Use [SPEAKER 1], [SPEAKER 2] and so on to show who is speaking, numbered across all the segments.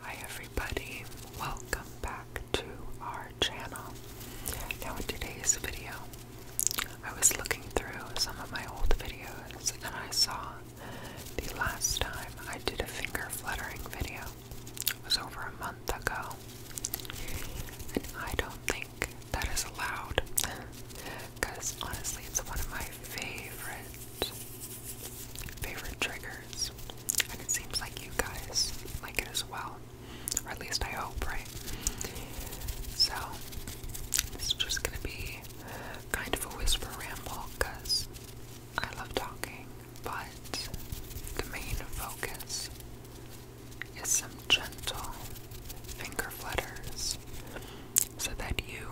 [SPEAKER 1] Hi everybody, welcome back to our channel. Now in today's video, I was looking through some of my old videos and I saw the last time I did a finger fluttering video. It was over a month ago. And I don't think that is allowed because honestly it's one of my favorite favorite triggers. And it seems like you guys like it as well. Or at least I hope, right? So, this just gonna be kind of a whisper ramble because I love talking, but the main focus is some gentle finger flutters so that you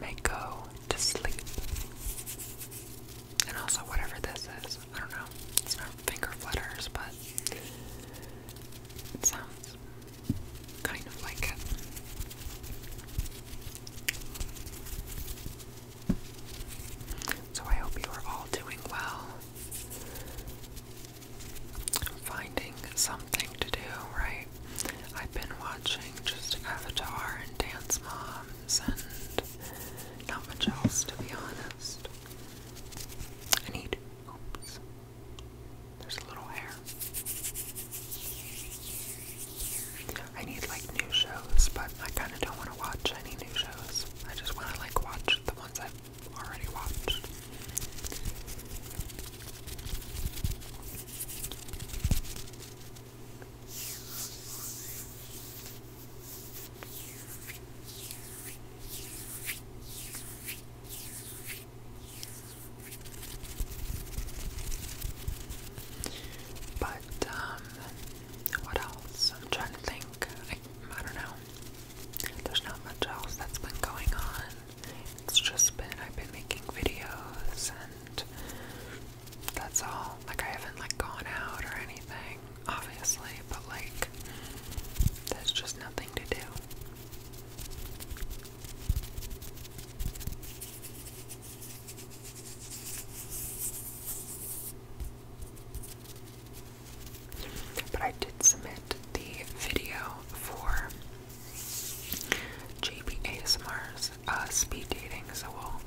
[SPEAKER 1] may go to sleep. And also, whatever this is, I don't know, it's not finger flutters, but it sounds kind of like it. So, I hope you are all doing well. Finding something to do, right? I've been watching just Avatar and Dance Mom and not much else, to be honest. I need. Oops. There's a little hair. I need like new shows, but I kind of don't want to watch any new shows. I just want to like watch the ones I've already watched. But um, what else? I'm trying to think. I don't know. There's not much else that's been going on. It's just been I've been making videos and that's all. Like I haven't like gone out or anything, obviously, but like there's just nothing to do. But I did submit the video for JB ASMR's uh, speed dating, so we'll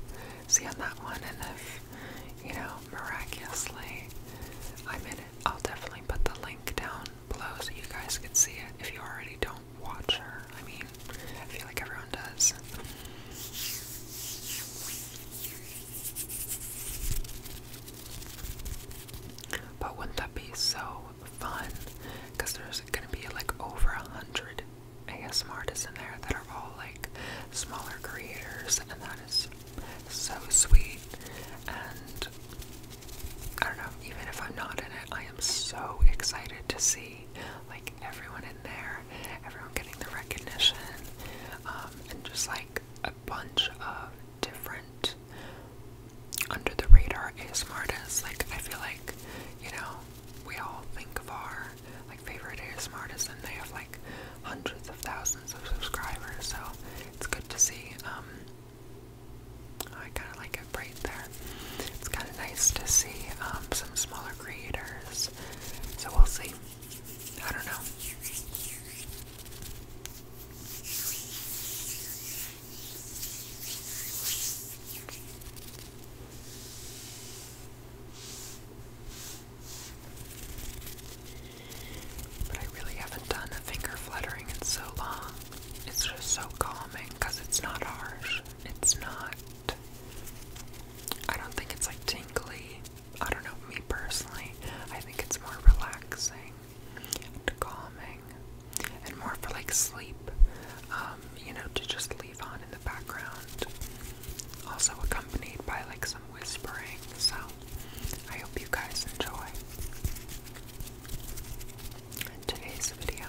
[SPEAKER 1] see on that one. And if, you know, miraculously I'm in I'll definitely put the link down below so you guys can see it if you already don't watch her. I mean, I feel like everyone does. But wouldn't that be so fun? Because there's gonna be like over a hundred ASM artists in there that are all like smaller creators, and that is so sweet. And I don't know, even if I'm not in it, I am so excited to see like everyone in there, everyone getting the recognition, um, and just like a bunch of different under the radar ASM artists. Like, I feel like, you know, we all think of our like favorite ASMR artists, and they have like hundreds of thousands of subscribers. So it's good to see. Um, I kind of like it right there. It's kind of nice to see um, some smaller creators. So we'll see. I don't know. But I really haven't done a finger fluttering in so long. It's just so calming because it's not harsh. It's not. I don't think it's like tingly. I don't know, me personally. I think it's more relaxing and calming and more for like sleep. Um, you know, to just leave. Avon in the background, also accompanied by like some whispering. So I hope you guys enjoy today's video.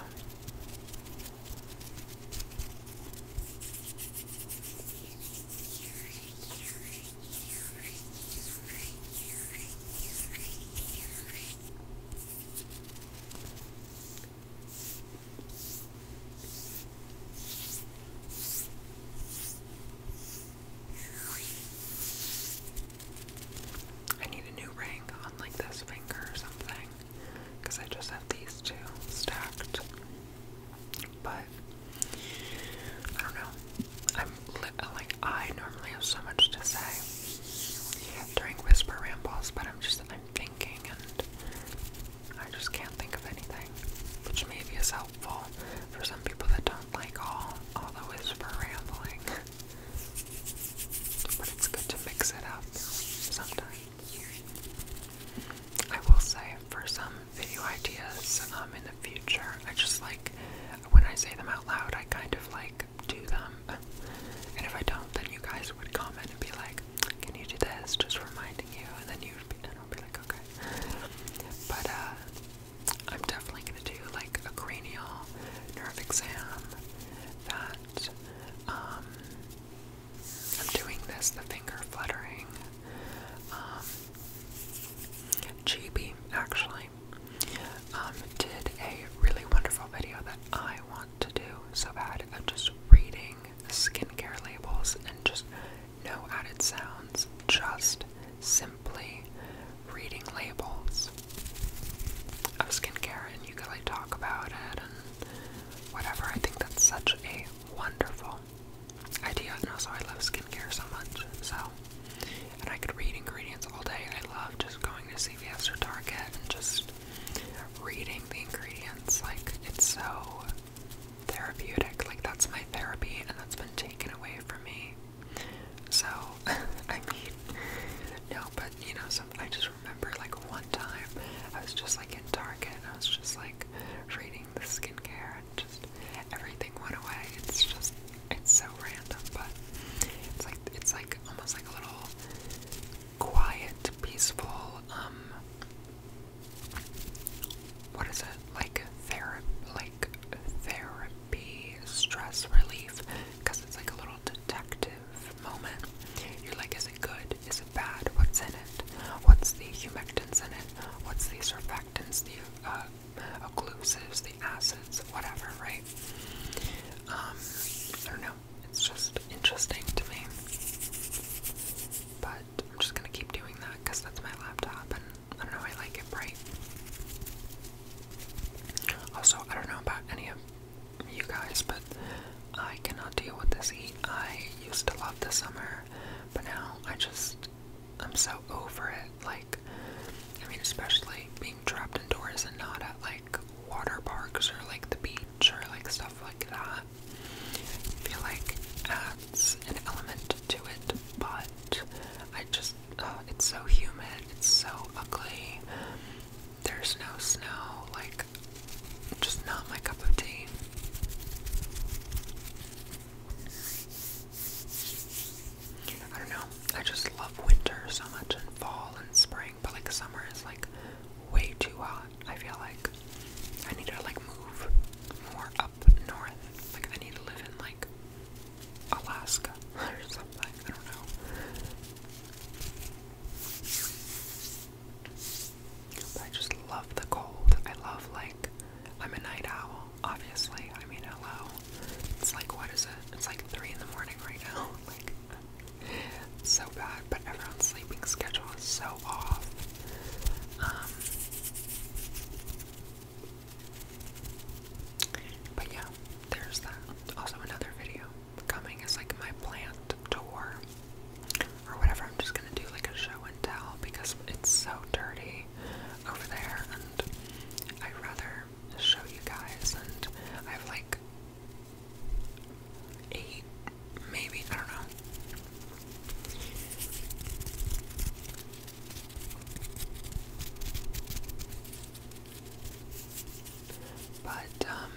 [SPEAKER 1] I need a new ring on like this finger or something because I just have these two stacked. But I don't know. I'm like I normally have so much to say during whisper rambles, but I'm just I'm thinking and I just can't think of anything, which maybe is helpful for some people that don't like all all the for rambling. but it's good to mix it up sometimes. I will say for some video ideas um, in the future, I just like when I say them out loud, I kind of like do them. And if I don't, then you guys would comment and be like, can you do this? Just remind you, and then you will be like, okay. But uh, I'm definitely gonna do like a cranial nerve exam. That um, I'm doing this, the finger fluttering, um, GB actually um, did a really wonderful video that I want to do so bad of just reading marketing, skincare labels, and just no added sounds, just simply reading labels of skincare, and you can like talk about it and whatever. I think that's such a wonderful idea, and also I love skincare so much, so and I could read ingredients all day. I love just going to CVS or Target and just reading the ingredients. Like it's so therapeutic. Like, that's my therapy, and that's been taken away from me. So, I mean, no, but you know, some, I just remember like one time I was just like in Target and I was just like reading the skincare and just everything went away. It's just, it's so random, but it's like, it's like almost like a little quiet, peaceful, um, what is it? Like therapy, like therapy, stress relief, because it's like a little detective moment. You're like, is it good? Is it bad? What's in it? What's the humectants in it? What's the surfactants, the uh, occlusives, the acids, whatever, right? Um, I don't know. It's just interesting to me. But I'm just gonna keep doing that because that's my laptop and I don't know, I like it bright. Also, I don't know about any of you guys, but I cannot deal with this heat. I used to love the summer, but now I just, I'm so over it. Like, I mean, especially being trapped indoors and not at like water parks or like the beach or like stuff like that feel like adds an element to it, but I just, uh, it's so humid, it's so ugly, there's no snow, like, just not my cup of tea. I don't know. I just love winter so much and fall and spring, but like summer is like way too hot. I feel like I need to like move more up north. Like I need to live in like Alaska or something. I don't know. I just love the cold. I love like I'm a night owl, obviously. I mean hello. It's like what is it? It's like three in the morning right now. Like so bad everyone's sleeping schedule is so off. Um, but yeah, there's that. Also, another video coming is like my plant tour or whatever. I'm just gonna do like a show and tell because it's so dirty over there, and I'd rather show you guys. And I have like eight Maybe, I don't know. But, um,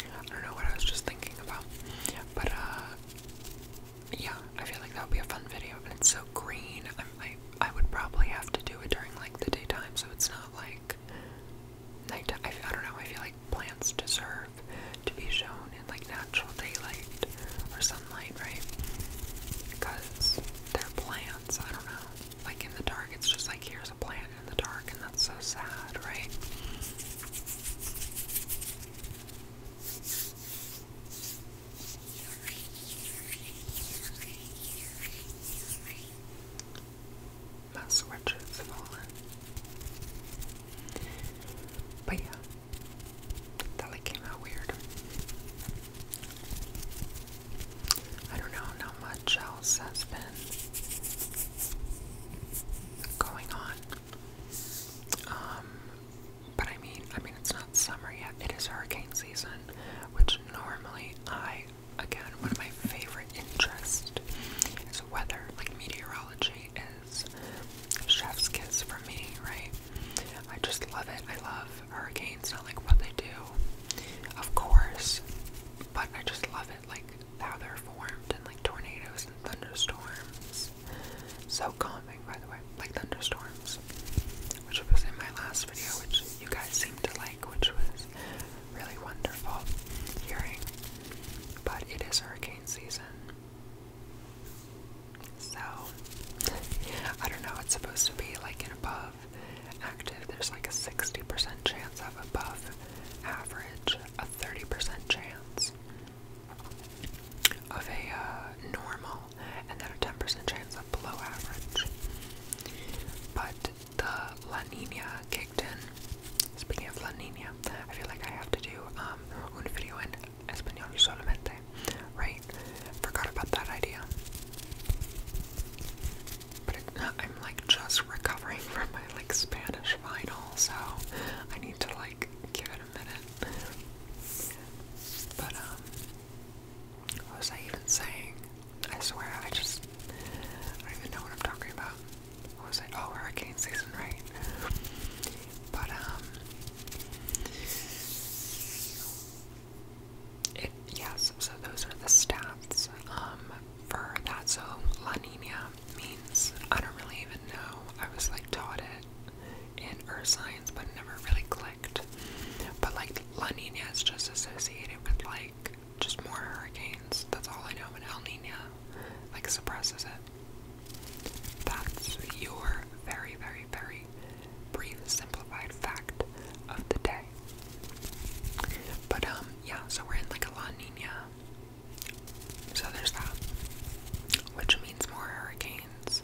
[SPEAKER 1] I don't know what I was just thinking about, but, uh, yeah, I feel like that would be a fun video, and it's so green, I, I would probably have to do it during, like, the daytime, so it's not like night. I, I don't know. I feel like plants deserve to be shown in like natural daylight or sunlight, right? Because they're plants. I don't know. Like in the dark, it's just like here's a plant in the dark, and that's so sad, right? Mouse Richards fallen. But yeah, that like came out weird. I don't know how much else has been going on. Um, but I mean, I mean, it's not summer yet. It is hurricane season, which normally I again, one of my favorite interests is weather. Like meteorology is chef's kiss for me, right? I just love it. I love hurricanes, not like what they do, of course, but I just love it, like how they're formed and like tornadoes and thunderstorms. So calming, by the way, like thunderstorms, which was in my last video, which you guys seem to like which was really wonderful hearing. But it is hurricane season. So, I don't know, it's supposed to be like an above active. There's like a 60% chance of above average, a 30% chance of a uh, normal, and then a 10% chance of below average. But the La Nina kicked in. Speaking of La Nina, I feel like I have to do um, un video in Spanish solamente, right? Forgot about that idea. But uh, I'm like just recovering from my like Spanish final, so I need to like give it a minute. But um, what was I even saying? I swear, I just, I don't even know what I'm talking about. was it? Oh, hurricane season, right? But, um, it, yes, so those are the stats, um, for that. So, La Nina means, I don't really even know. I was, like, taught it in earth science, but never really clicked. But, like, La Nina is just associated with, like, just more hurricanes. That's all I know. But El Nino like suppresses it. That's your very, very, very brief, simplified fact of the day. But um, yeah. So we're in like a La Nina. So there's that, which means more hurricanes.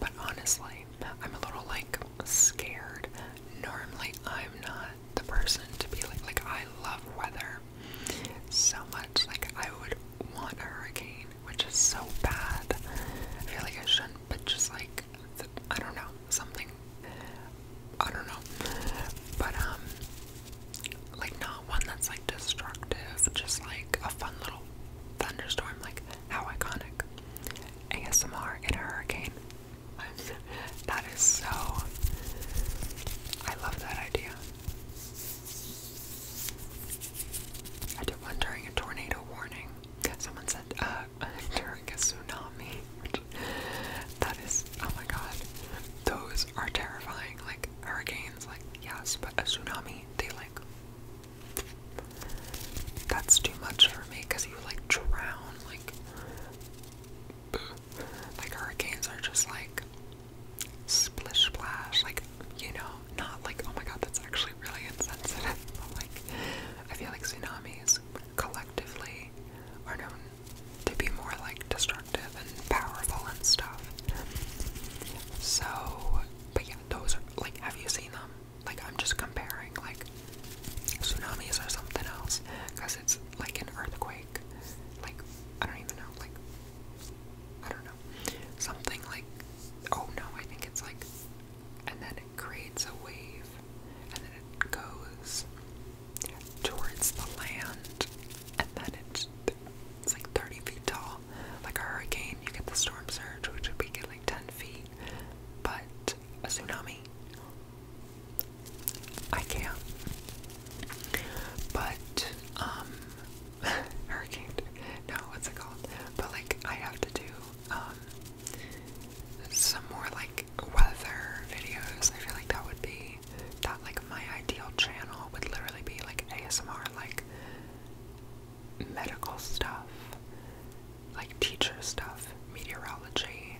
[SPEAKER 1] But honestly, I'm a little like scared. Normally, I'm not the person to be like like I love weather so much. Like I would want a hurricane, which is so bad. I feel like I shouldn't, but just like the, I don't know something. I don't know, but um, like not one that's like destructive. Just like a fun little thunderstorm. Like how iconic. ASMR in a hurricane. that is so. I love that idea. I did one during a tornado warning. Someone said uh, during a tsunami. that is, oh my god, those are terrifying. Like hurricanes, like yes, but a tsunami, they like. That's too much for me because you like drown. Like like hurricanes are just like splish splash, like you know, not like oh my god, that's actually really insensitive. like, I feel like tsunamis collectively are known to be more like destructive and powerful and stuff. So, but yeah, those are like, have you seen them? Like, I'm just comparing, like, tsunamis are something else because it's like an earthquake. Like, I don't even know. Like, I don't know. Something like, oh no, I think it's like, and then it creates a wave and then it goes towards the land and then it, it's like 30 feet tall. Like a hurricane, you get the storm surge, which would be like 10 feet, but a tsunami I can't. But, um, hurricane, no, what's it called? But, like, I have to do, um, some more, like, weather videos. I feel like that would be, that, like, my ideal channel would literally be, like, ASMR, like, medical stuff, like, teacher stuff, meteorology,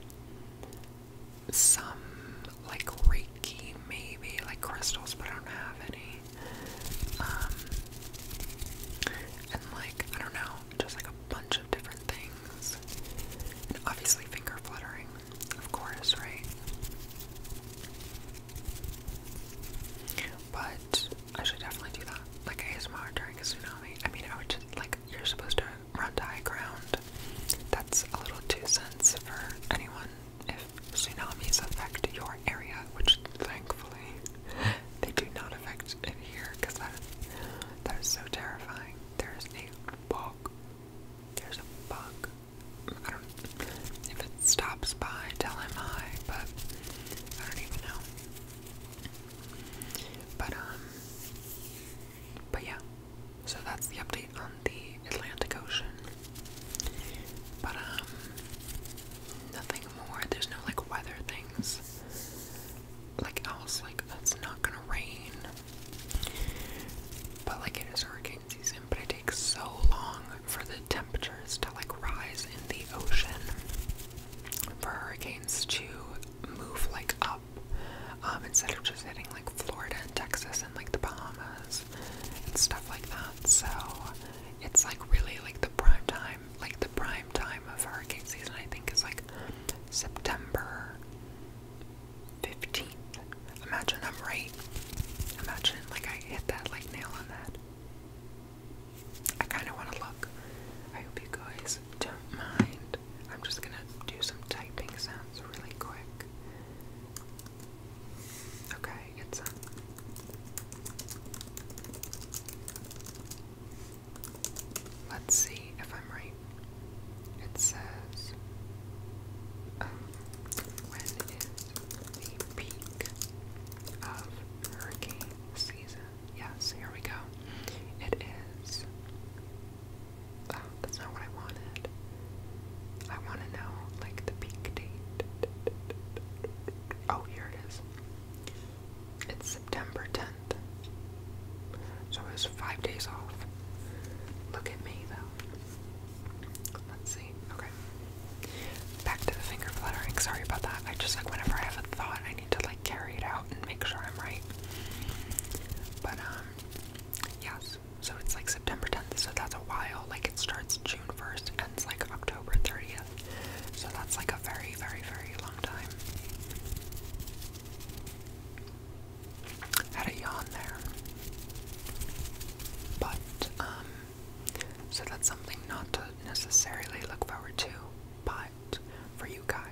[SPEAKER 1] some like Reiki, maybe like crystals, but I don't have any. Um, and like I don't know, just like a bunch of different things, obviously finger fluttering, of course, right? But I should definitely do that, like ASMR during a tsunami. I mean, I would just like you're supposed to Rondai ground. That's a little two cents for anyone if tsunamis affect your area, which thankfully they do not affect here because that, that is so terrifying. There's a bug. There's a bug. I don't if it stops by, tell him hi, but I don't even know. But um but yeah, so that's the update on the Atlantic Ocean. But, um, nothing more. There's no like weather things. Like, else, like, that's not gonna rain. But, like, it is hurricane season, but it takes so long for the temperatures to like rise in the ocean for hurricanes to move like um, instead of just hitting like Florida and Texas and like the Bahamas and stuff like that. So it's like really like the prime time, like the prime time of hurricane season, I think, is like September 15th. Imagine I'm right. Imagine like I hit that like nail on that. I kind of want to look. I hope you guys don't mind. I'm just gonna do some typing sounds really quick. Okay, it's um, Let's see if I'm right. It says um, when is the peak of hurricane season? Yes, here we go. It is Oh, that's not what I wanted. I want to know, like, the peak date. Oh, here it is. It's September 10th. So it was five days off. Look at me, though. Let's see. Okay. Back to the finger fluttering. Sorry about that. I just, like, whenever I have a thought, I need to, like, carry it out and make sure I'm right. But, um, yes. So it's like September 10th, so that's a while. Like it starts June 1st, ends like October 30th. So that's like a very, very, very long time. Had a yawn there. But, um, so that's something not to necessarily look forward to, but for you guys,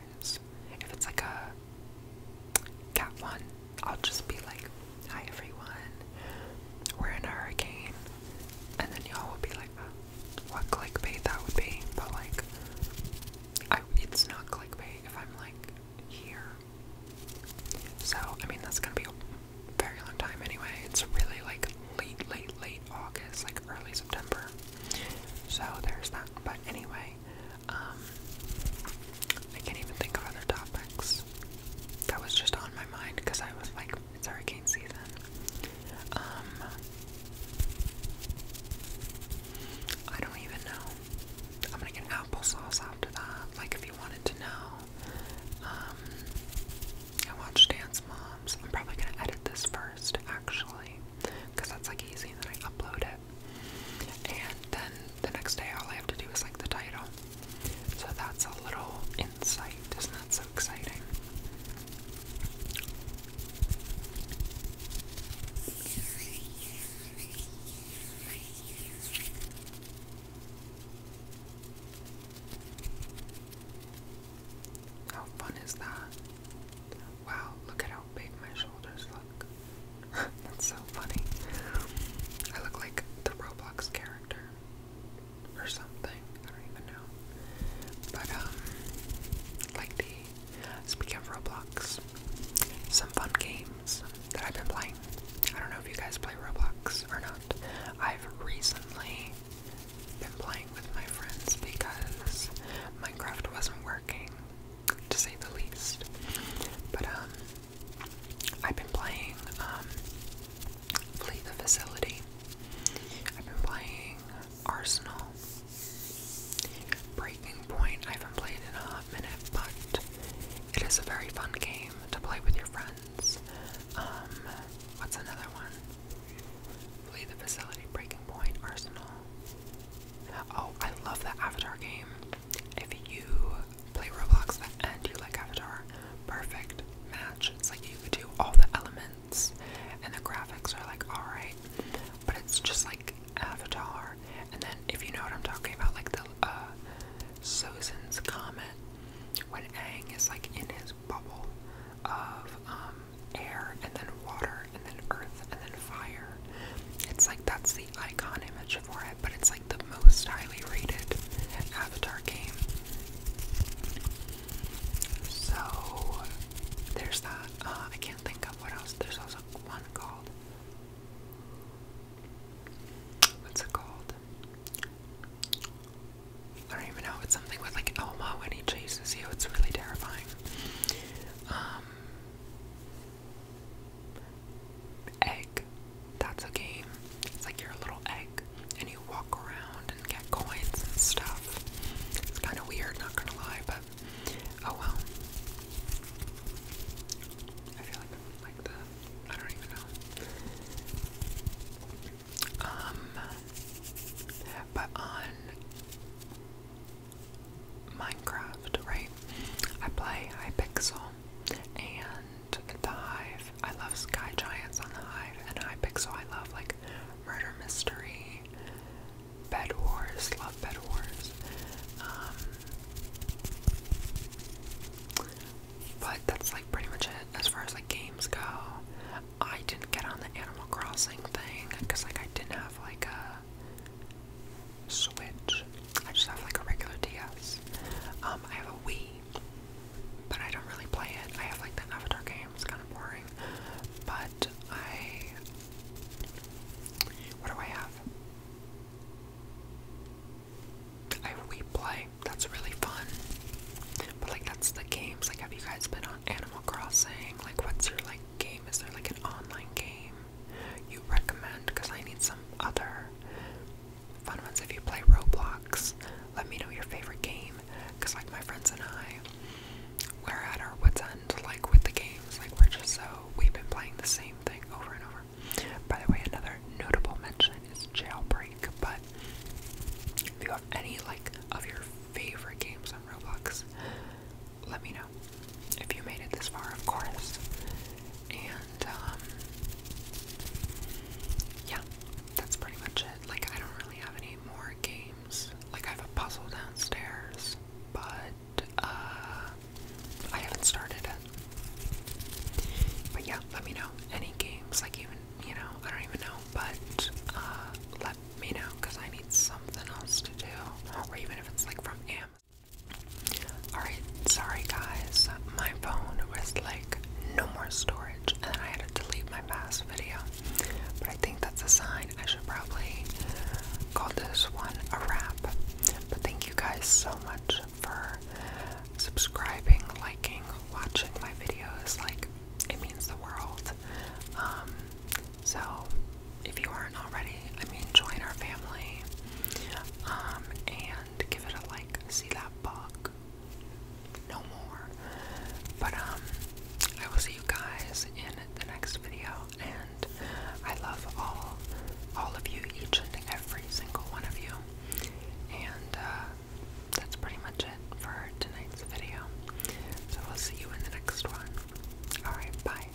[SPEAKER 1] if it's like a cat one, I'll just be like, hi everyone, we're in a hurricane. And then y'all will be like, uh, what clickbait that would be. But like, I, it's not clickbait if I'm like here. So, I mean, that's gonna be a very long time anyway. It's really like late, late, late August, like early September. So, there's that. But anyway, um, I can't even think of other topics. That was just on my mind because I was like, it's hurricane season. Um, I don't even know. I'm gonna get applesauce after that. Like, if you wanted to know, um, I watched Dance Moms. I'm probably gonna edit this first, actually because that's like easy. And then I upload it, and then the next day all I have to do is like the title. So that's a little insight. Isn't so exciting? How fun is that? Wow, look at how how big my shoulders look. That's so funny. I look like the Roblox character or something. I don't even know. But um like the speaking Roblox, some fun games that I've been playing. I don't know if you guys play Roblox or not. I've recently been playing with my friends because Minecraft wasn't working to say the least. But um, I've been playing um, Flee the Facility. I've been playing Arsenal. Breaking Point. I haven't played in a hot minute, but it is a very fun game to play with your friends. Um, what's another one? Flee the Facility, Breaking Point, Arsenal. Oh, I love that Avatar game. If you play Roblox and you like Avatar, perfect match. It's like you could do all the elements and the graphics are like alright, but it's just like Avatar. And then if you know what I'm talking about, like the uh, Sozin's Comet, when Ang is like in his bubble of um, air and then water, and then earth and then fire. It's like that's the icon image for it, but it's like the most highly rated Avatar game. So there's that. Uh, I can't think of what else. There's also one called. What's it called? I don't even know. It's something with like Elmo, when he chases you. It's really terrifying. Um, egg. That's a game. It's like you're a little egg and you walk around and get coins and stuff. It's kind of weird, not gonna lie, but oh well. I feel like I'm like the. I don't even know. Um. But on Minecraft, right? I play Hypixel and Hive. I love Sky Giants on The Hive and Hypixel. I love like murder mystery, bed wars, love bed wars. Um, but that's like pretty much it as far as like games go. I didn't get on the Animal Crossing thing because like I didn't have like a Switch. I just have like a regular DS. Um, I have a Wii, but I don't really play it. I have like the Avatar game. It's kind of boring. But I. What do I have? I have Wii Play. That's really fun. But like, that's the games. Like, have you guys been on Animal Crossing? Like, what's your like game? Is there like an online game? you recommend because I need some other fun ones. If you play Roblox, let me know your favorite game because, like, my friends and I, we're at our wits' end, like, with the games. Like, we're just so, we've been playing the same thing over and over. By the way, another notable mention is Jailbreak, but if you have any, like, of your favorite games on Roblox, let me know if you made it this far, of course. And, um, yeah, that's pretty much it. Like, I don't really have any more games. Like, I have a puzzle downstairs, but, uh, I haven't started it. But yeah, let me know. Any games, like, even, you know, I don't even know, but, uh, let me know, because I need something else to do. Or even if it's, like, from Amazon. Alright, sorry guys, my phone was like no more storage and then I had to delete my past video. But I think that's a sign. I should probably call this one a wrap. But thank you guys so much for subscribing, liking, watching my videos. Like, it means the world. Um, so if you aren't already, I mean, join our family um, and give it a like. See that bug? No more. But, um, I will see you guys in the next video. And I love all, all of you, each and every single one of you. And, uh, that's pretty much it for tonight's video. So, we'll see you in the next one. Alright, bye.